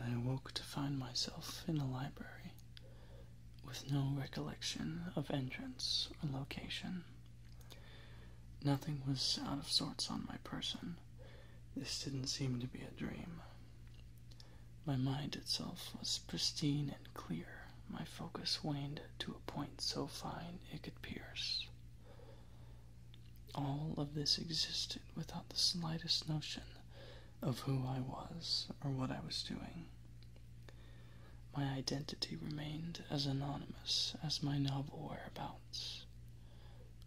I awoke to find myself in a library with no recollection of entrance or location. Nothing was out of sorts on my person. This didn't seem to be a dream. My mind itself was pristine and clear. My focus waned to a point so fine it could pierce. All of this existed without the slightest notion of who I was or what I was doing. My identity remained as anonymous as my novel whereabouts.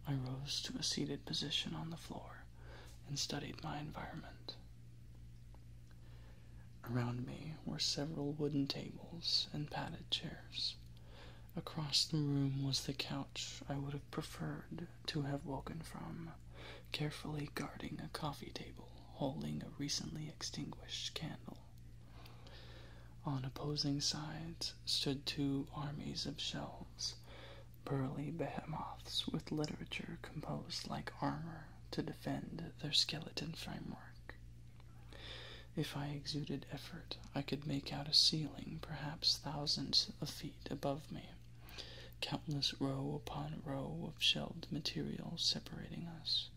I rose to a seated position on the floor and studied my environment. Around me were several wooden tables and padded chairs. Across the room was the couch I would have preferred to have woken from, carefully guarding a coffee table holding a recently extinguished candle. On opposing sides stood two armies of shelves, burly behemoths with literature composed like armor to defend their skeleton framework. If I exuded effort, I could make out a ceiling perhaps thousands of feet above me, countless row upon row of shelved material separating us.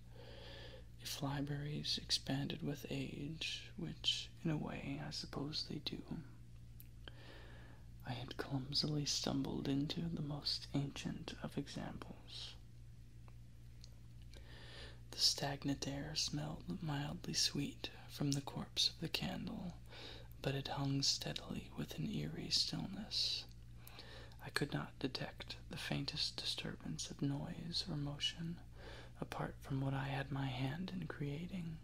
If libraries expanded with age, which, in a way, I suppose they do, I had clumsily stumbled into the most ancient of examples. The stagnant air smelled mildly sweet from the corpse of the candle, but it hung steadily with an eerie stillness. I could not detect the faintest disturbance of noise or motion apart from what I had my hand in creating.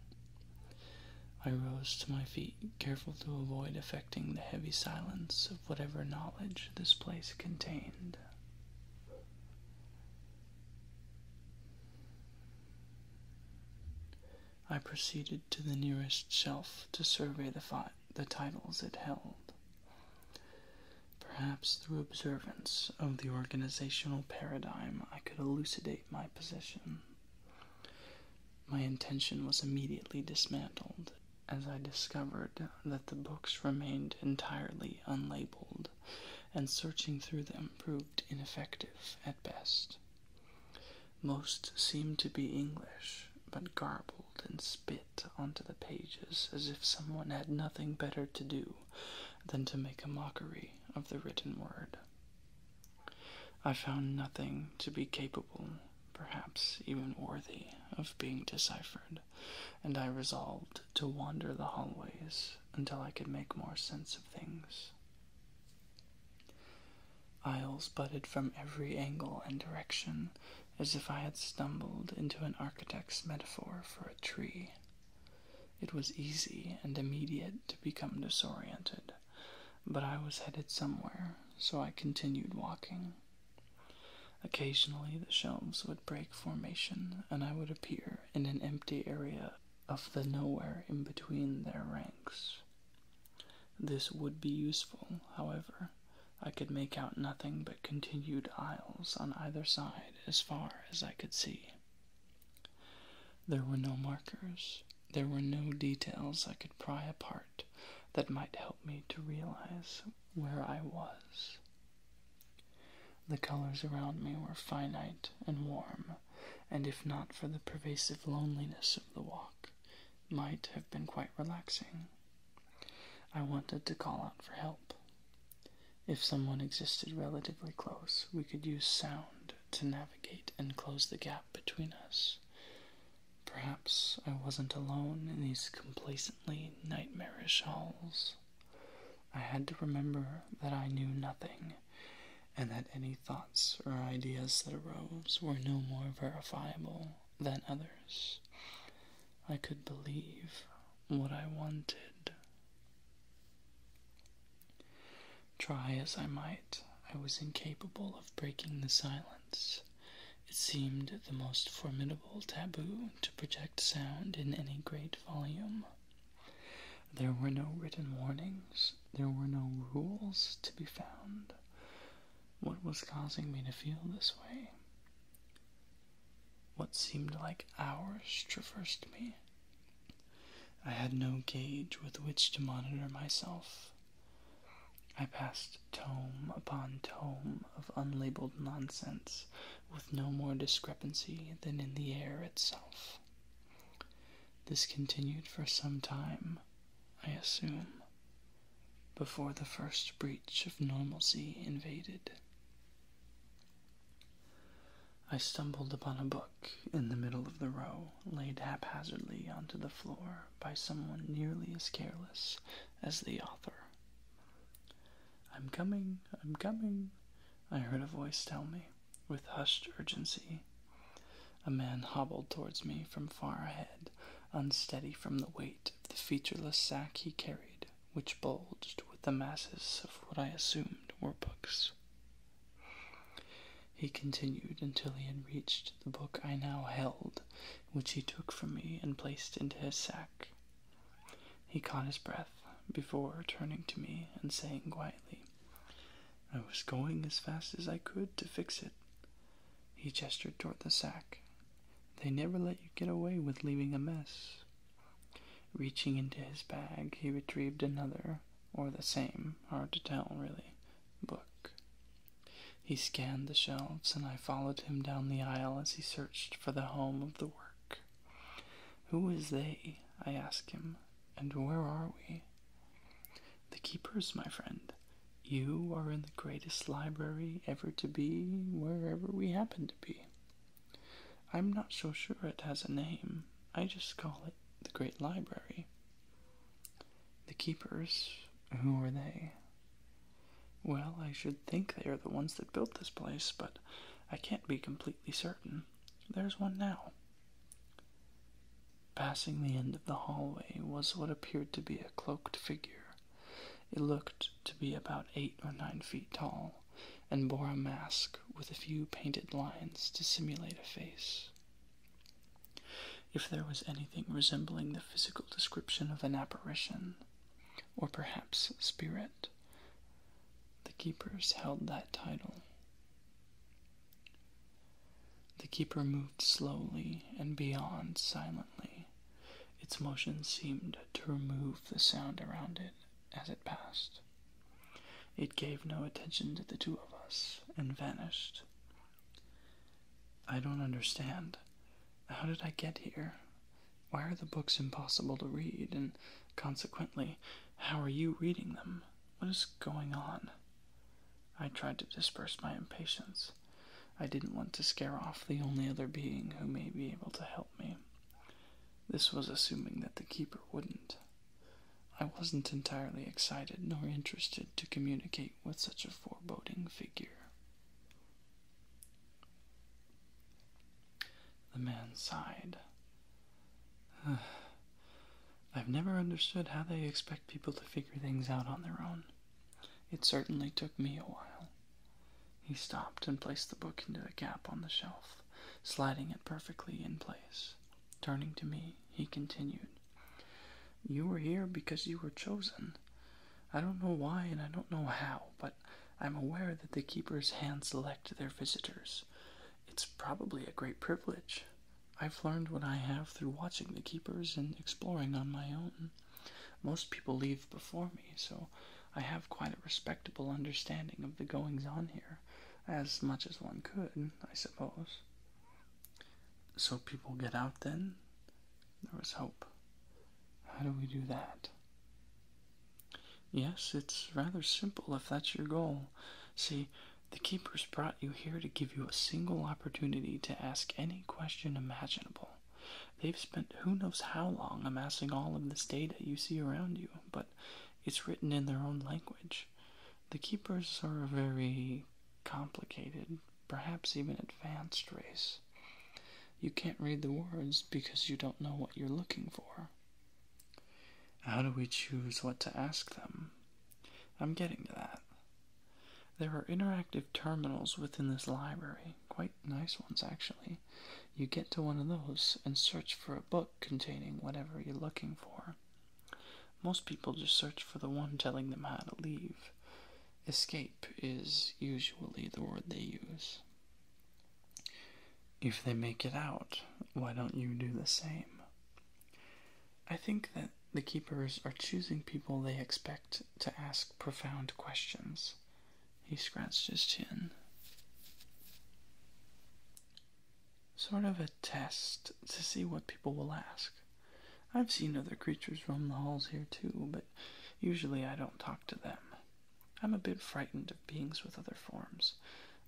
I rose to my feet, careful to avoid affecting the heavy silence of whatever knowledge this place contained. I proceeded to the nearest shelf to survey the, titles it held. Perhaps through observance of the organizational paradigm, I could elucidate my position. My intention was immediately dismantled as I discovered that the books remained entirely unlabeled and searching through them proved ineffective at best. Most seemed to be English, but garbled and spit onto the pages as if someone had nothing better to do than to make a mockery of the written word. I found nothing to be capable, perhaps even worthy, of being deciphered, and I resolved to wander the hallways until I could make more sense of things. Aisles budded from every angle and direction as if I had stumbled into an architect's metaphor for a tree. It was easy and immediate to become disoriented, but I was headed somewhere, so I continued walking. Occasionally, the shelves would break formation, and I would appear in an empty area of the nowhere in between their ranks. This would be useful, however. I could make out nothing but continued aisles on either side as far as I could see. There were no markers. There were no details I could pry apart that might help me to realize where I was. The colors around me were finite and warm, and if not for the pervasive loneliness of the walk, might have been quite relaxing. I wanted to call out for help. If someone existed relatively close, we could use sound to navigate and close the gap between us. Perhaps I wasn't alone in these complacently nightmarish halls. I had to remember that I knew nothing, and that any thoughts or ideas that arose were no more verifiable than others. I could believe what I wanted. Try as I might, I was incapable of breaking the silence. It seemed the most formidable taboo to project sound in any great volume. There were no written warnings, there were no rules to be found. What was causing me to feel this way? What seemed like hours traversed me. I had no gauge with which to monitor myself. I passed tome upon tome of unlabeled nonsense with no more discrepancy than in the air itself. This continued for some time, I assume, before the first breach of normalcy invaded. I stumbled upon a book in the middle of the row, laid haphazardly onto the floor by someone nearly as careless as the author. I'm coming, I'm coming, I heard a voice tell me with hushed urgency. A man hobbled towards me from far ahead, unsteady from the weight of the featureless sack he carried, which bulged with the masses of what I assumed were books. He continued until he had reached the book I now held, which he took from me and placed into his sack. He caught his breath before turning to me and saying quietly, I was going as fast as I could to fix it. He gestured toward the sack. They never let you get away with leaving a mess. Reaching into his bag, he retrieved another, or the same, hard to tell really, book. He scanned the shelves, and I followed him down the aisle as he searched for the home of the work. Who is they? I ask him, and where are we? The keepers, my friend. You are in the greatest library ever to be, wherever we happen to be. I'm not so sure it has a name. I just call it the Great Library. The keepers, who are they? Well, I should think they are the ones that built this place, but I can't be completely certain there's one now. Passing the end of the hallway was what appeared to be a cloaked figure. It looked to be about eight or nine feet tall, and bore a mask with a few painted lines to simulate a face. If there was anything resembling the physical description of an apparition, or perhaps spirit, the keepers held that title. The keeper moved slowly and beyond silently. Its motion seemed to remove the sound around it as it passed. It gave no attention to the two of us and vanished. I don't understand. How did I get here? Why are the books impossible to read, and consequently, how are you reading them? What is going on? I tried to disperse my impatience. I didn't want to scare off the only other being who may be able to help me. This was assuming that the keeper wouldn't. I wasn't entirely excited nor interested to communicate with such a foreboding figure. The man sighed. I've never understood how they expect people to figure things out on their own. It certainly took me a while. He stopped and placed the book into a gap on the shelf, sliding it perfectly in place. Turning to me, he continued, You were here because you were chosen. I don't know why and I don't know how, but I'm aware that the keepers hand select their visitors. It's probably a great privilege. I've learned what I have through watching the keepers and exploring on my own. Most people leave before me, so I have quite a respectable understanding of the goings on here, as much as one could, I suppose. So people get out then? There was hope. How do we do that? Yes, it's rather simple if that's your goal. See, the keepers brought you here to give you a single opportunity to ask any question imaginable. They've spent who knows how long amassing all of this data you see around you, but it's written in their own language. The keepers are a very complicated, perhaps even advanced race. You can't read the words because you don't know what you're looking for. How do we choose what to ask them? I'm getting to that. There are interactive terminals within this library, quite nice ones actually. You get to one of those and search for a book containing whatever you're looking for. Most people just search for the one telling them how to leave. Escape is usually the word they use. If they make it out, why don't you do the same? I think that the keepers are choosing people they expect to ask profound questions. He scratched his chin. Sort of a test to see what people will ask. I've seen other creatures roam the halls here too, but usually I don't talk to them. I'm a bit frightened of beings with other forms,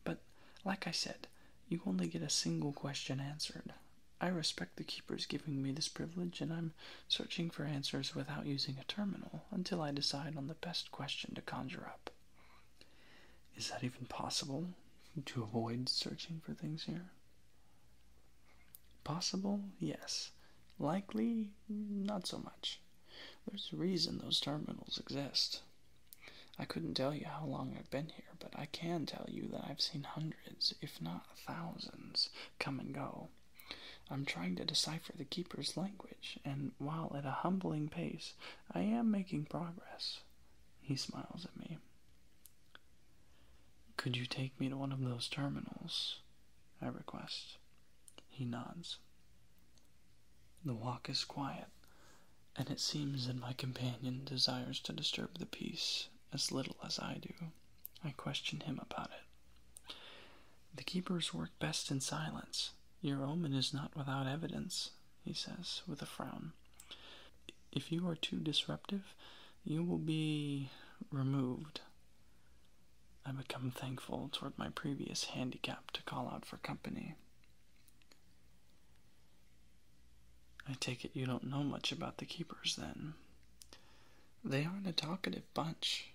but like I said, you only get a single question answered. I respect the keepers giving me this privilege, and I'm searching for answers without using a terminal until I decide on the best question to conjure up. Is that even possible to avoid searching for things here? Possible, yes. Likely, not so much. There's a reason those terminals exist. I couldn't tell you how long I've been here, but I can tell you that I've seen hundreds, if not thousands, come and go. I'm trying to decipher the keeper's language, and while at a humbling pace, I am making progress. He smiles at me. Could you take me to one of those terminals? I request. He nods. The walk is quiet, and it seems that my companion desires to disturb the peace as little as I do. I question him about it. The keepers work best in silence. Your omen is not without evidence, he says, with a frown. If you are too disruptive, you will be removed. I become thankful toward my previous handicap to call out for company. I take it you don't know much about the keepers then. They aren't a talkative bunch.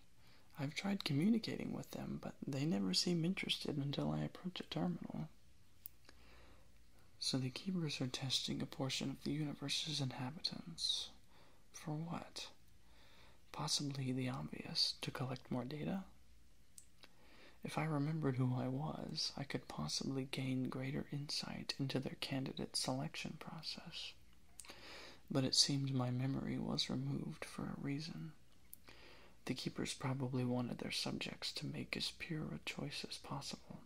I've tried communicating with them, but they never seem interested until I approach a terminal. So the keepers are testing a portion of the universe's inhabitants. For what? Possibly the obvious to collect more data? If I remembered who I was, I could possibly gain greater insight into their candidate selection process. But it seemed my memory was removed for a reason. The keepers probably wanted their subjects to make as pure a choice as possible.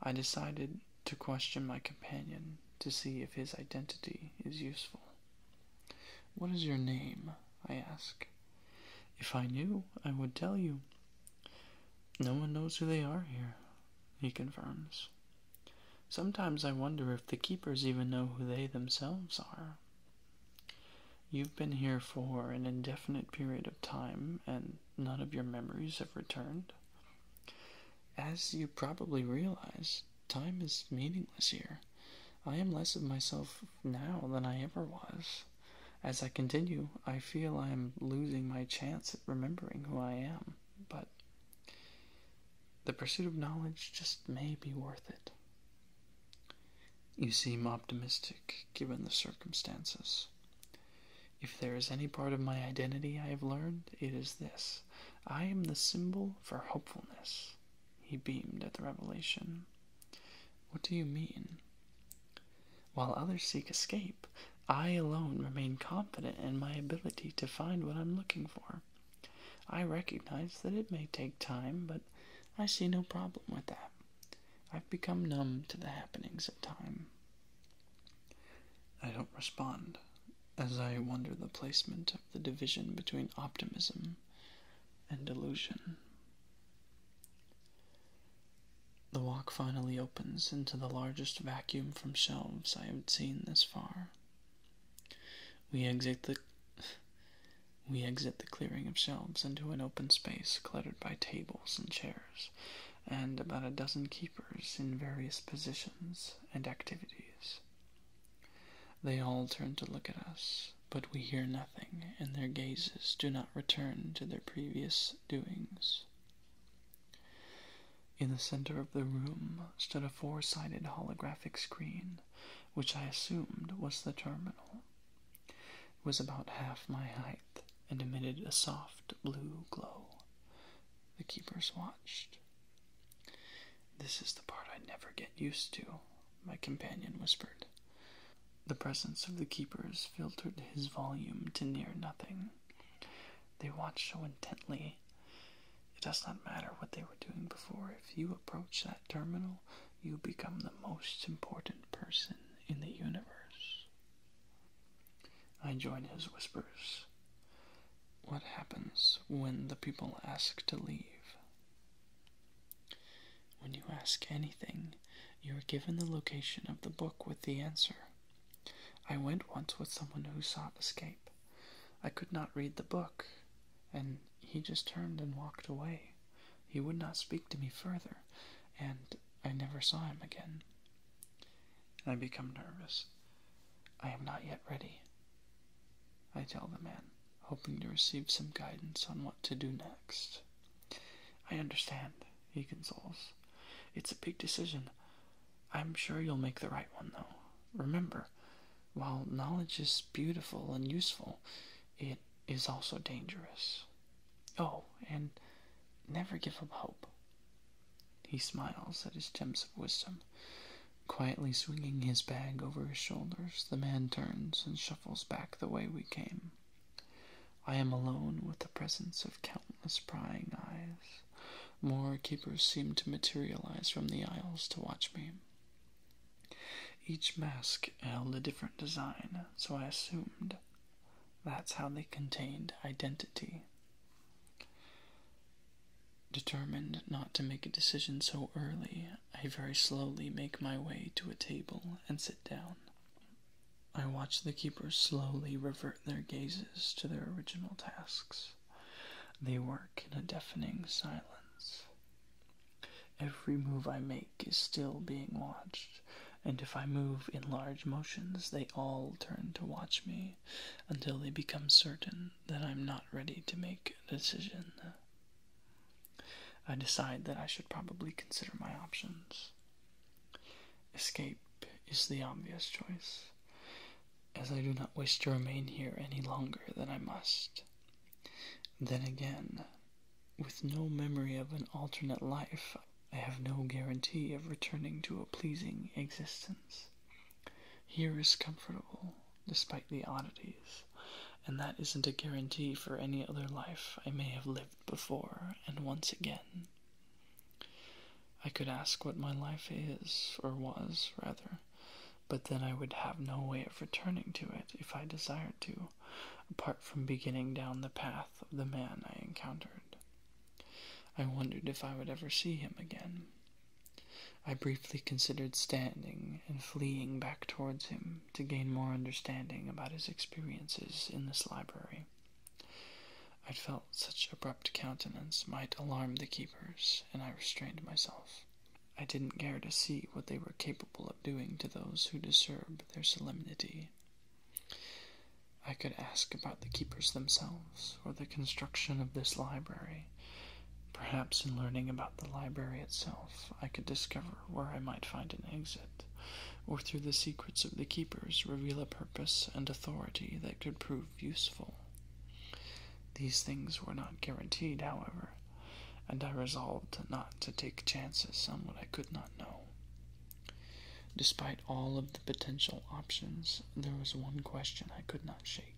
I decided to question my companion to see if his identity is useful. What is your name? I ask. If I knew, I would tell you. No one knows who they are here, he confirms. Sometimes I wonder if the keepers even know who they themselves are. You've been here for an indefinite period of time, and none of your memories have returned. As you probably realize, time is meaningless here. I am less of myself now than I ever was. As I continue, I feel I am losing my chance at remembering who I am, but the pursuit of knowledge just may be worth it. You seem optimistic given the circumstances. If there is any part of my identity I have learned, it is this I am the symbol for hopefulness. He beamed at the revelation. What do you mean? While others seek escape, I alone remain confident in my ability to find what I'm looking for. I recognize that it may take time, but I see no problem with that. I've become numb to the happenings of time. I don't respond, as I wonder the placement of the division between optimism and delusion. The walk finally opens into the largest vacuum from shelves I have seen this far. We exit the we exit the clearing of shelves into an open space cluttered by tables and chairs, and about a dozen keepers in various positions and activities. They all turn to look at us, but we hear nothing, and their gazes do not return to their previous doings. In the center of the room stood a four sided holographic screen, which I assumed was the terminal. It was about half my height and emitted a soft blue glow, the keepers watched. This is the part I never get used to, my companion whispered. The presence of the keepers filtered his volume to near nothing. They watch so intently. It does not matter what they were doing before. If you approach that terminal, you become the most important person in the universe. I joined his whispers what happens when the people ask to leave. When you ask anything, you are given the location of the book with the answer. I went once with someone who sought escape. I could not read the book, and he just turned and walked away. He would not speak to me further, and I never saw him again. I become nervous. I am not yet ready. I tell the man, hoping to receive some guidance on what to do next. I understand, he consoles. It's a big decision. I'm sure you'll make the right one, though. Remember, while knowledge is beautiful and useful, it is also dangerous. Oh, and never give up hope. He smiles at his gems of wisdom. Quietly swinging his bag over his shoulders, the man turns and shuffles back the way we came. I am alone with the presence of countless prying eyes. More keepers seem to materialize from the aisles to watch me. Each mask held a different design, so I assumed that's how they contained identity. Determined not to make a decision so early, I very slowly make my way to a table and sit down. I watch the keepers slowly revert their gazes to their original tasks. They work in a deafening silence. Every move I make is still being watched, and if I move in large motions, they all turn to watch me until they become certain that I'm not ready to make a decision. I decide that I should probably consider my options. Escape is the obvious choice, as I do not wish to remain here any longer than I must. Then again, with no memory of an alternate life, I have no guarantee of returning to a pleasing existence. Here is comfortable, despite the oddities, and that isn't a guarantee for any other life I may have lived before and once again. I could ask what my life is, or was, rather, but then I would have no way of returning to it if I desired to, apart from beginning down the path of the man I encountered. I wondered if I would ever see him again, I briefly considered standing and fleeing back towards him to gain more understanding about his experiences in this library. I felt such abrupt countenance might alarm the keepers, and I restrained myself. I didn't care to see what they were capable of doing to those who disturb their solemnity. I could ask about the keepers themselves or the construction of this library. Perhaps in learning about the library itself, I could discover where I might find an exit, or through the secrets of the keepers reveal a purpose and authority that could prove useful. These things were not guaranteed, however, and I resolved not to take chances on what I could not know. Despite all of the potential options, there was one question I could not shake.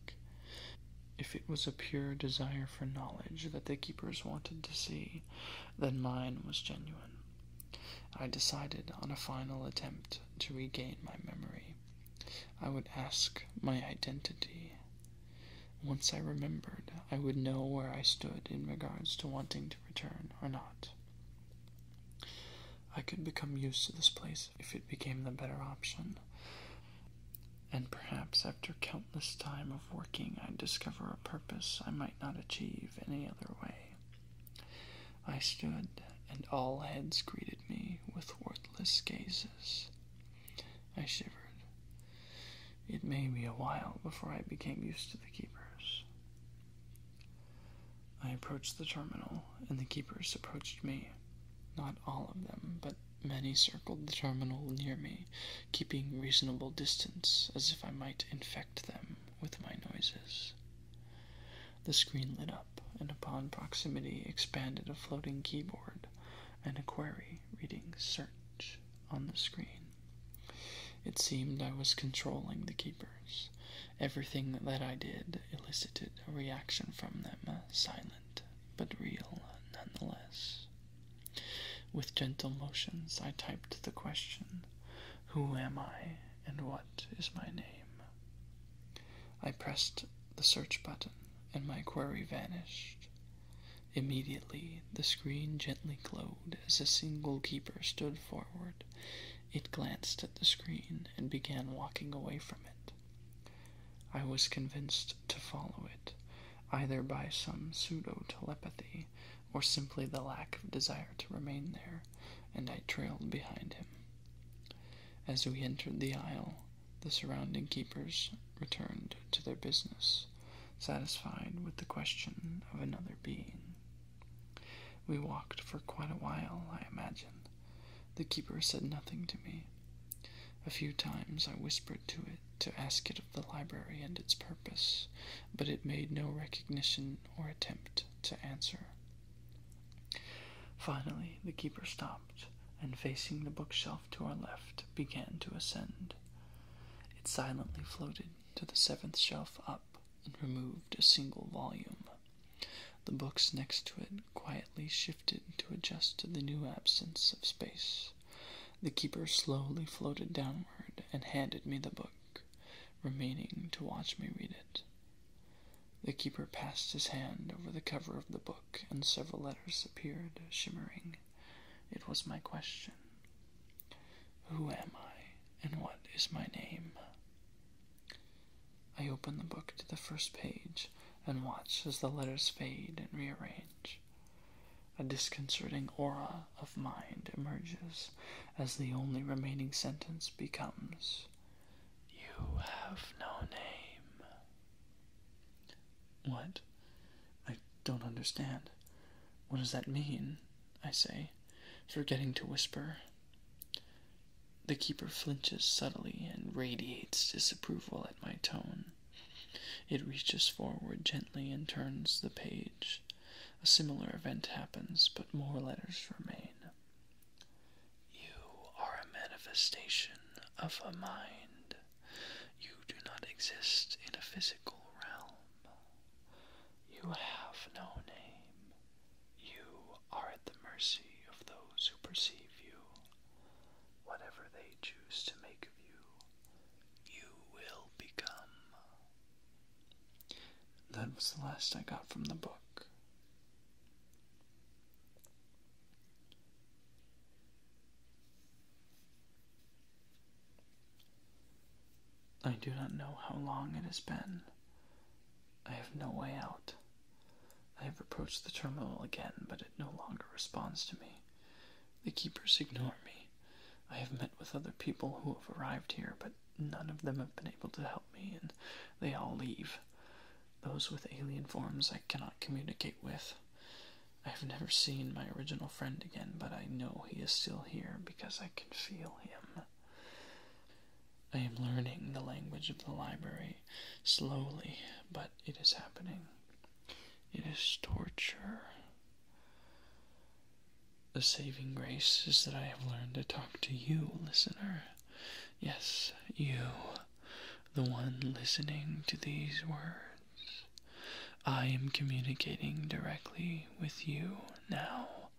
If it was a pure desire for knowledge that the keepers wanted to see, then mine was genuine. I decided on a final attempt to regain my memory. I would ask my identity. Once I remembered, I would know where I stood in regards to wanting to return or not. I could become used to this place if it became the better option. And perhaps after countless time of working, I'd discover a purpose I might not achieve any other way. I stood, and all heads greeted me with worthless gazes. I shivered. It may be a while before I became used to the keepers. I approached the terminal, and the keepers approached me. Not all of them, but many circled the terminal near me, keeping reasonable distance, as if I might infect them with my noises. The screen lit up, and upon proximity expanded a floating keyboard and a query reading search on the screen. It seemed I was controlling the keyboards. Everything that I did elicited a reaction from them, uh, silent but real uh, nonetheless. With gentle motions, I typed the question Who am I and what is my name? I pressed the search button and my query vanished. Immediately, the screen gently glowed as a single keeper stood forward. It glanced at the screen and began walking away from it. I was convinced to follow it, either by some pseudo telepathy or simply the lack of desire to remain there, and I trailed behind him. As we entered the aisle, the surrounding keepers returned to their business, satisfied with the question of another being. We walked for quite a while, I imagine, the keeper said nothing to me. A few times I whispered to it to ask it of the library and its purpose, but it made no recognition or attempt to answer. Finally, the keeper stopped and, facing the bookshelf to our left, began to ascend. It silently floated to the seventh shelf up and removed a single volume. The books next to it quietly shifted to adjust to the new absence of space. The keeper slowly floated downward and handed me the book, remaining to watch me read it. The keeper passed his hand over the cover of the book, and several letters appeared, shimmering. It was my question Who am I, and what is my name? I open the book to the first page and watch as the letters fade and rearrange. A disconcerting aura of mind emerges as the only remaining sentence becomes You have no name. What? I don't understand. What does that mean? I say, forgetting to whisper the keeper flinches subtly and radiates disapproval at my tone. It reaches forward gently and turns the page. A similar event happens, but more letters remain. You are a manifestation of a mind. You do not exist in a physical realm. You have no name. You are at the mercy of those who perceive you. Whatever they choose to make of you, you will become. That was the last I got from the book. I do not know how long it has been. I have no way out. I have approached the terminal again, but it no longer responds to me. The keepers ignore me. I have met with other people who have arrived here, but none of them have been able to help me, and they all leave. Those with alien forms I cannot communicate with. I have never seen my original friend again, but I know he is still here because I can feel him. I am learning the language of the library slowly, but it is happening. It is torture. The saving grace is that I have learned to talk to you, listener. Yes, you, the one listening to these words. I am communicating directly with you now.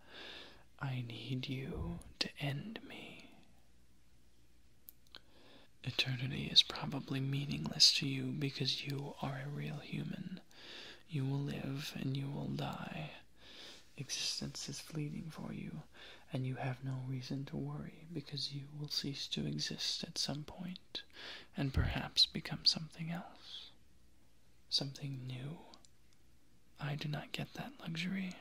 I need you to end me. Eternity is probably meaningless to you because you are a real human. You will live and you will die. Existence is fleeting for you, and you have no reason to worry because you will cease to exist at some point and perhaps become something else, something new, I do not get that luxury.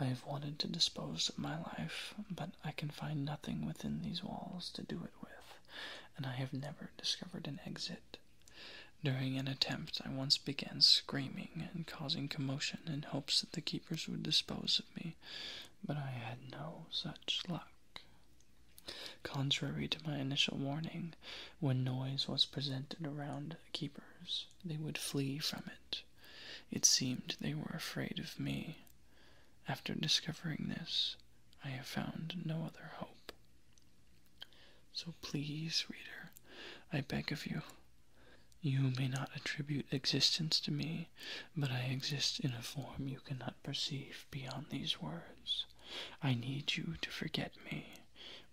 I have wanted to dispose of my life, but I can find nothing within these walls to do it with, and I have never discovered an exit. During an attempt, I once began screaming and causing commotion in hopes that the keepers would dispose of me, but I had no such luck. Contrary to my initial warning, when noise was presented around keepers, they would flee from it. It seemed they were afraid of me. After discovering this, I have found no other hope. So please, reader, I beg of you. You may not attribute existence to me, but I exist in a form you cannot perceive beyond these words. I need you to forget me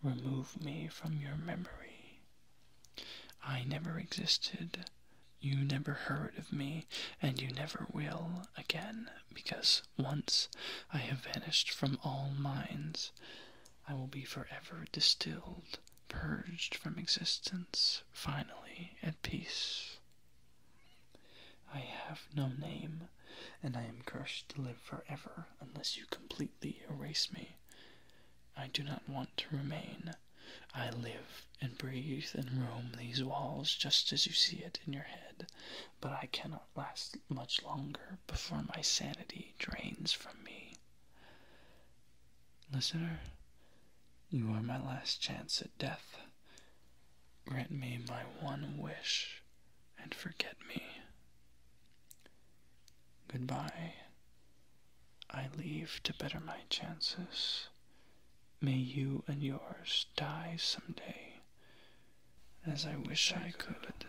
remove me from your memory. I never existed, you never heard of me, and you never will again, because once I have vanished from all minds, I will be forever distilled, purged from existence, finally at peace. I have no name, and I am cursed to live forever unless you completely erase me. I do not want to remain. I live and breathe and roam these walls just as you see it in your head, but I cannot last much longer before my sanity drains from me. Listener, you are my last chance at death. Grant me my one wish and forget me. Goodbye. I leave to better my chances. May you and yours die someday, as I wish I could.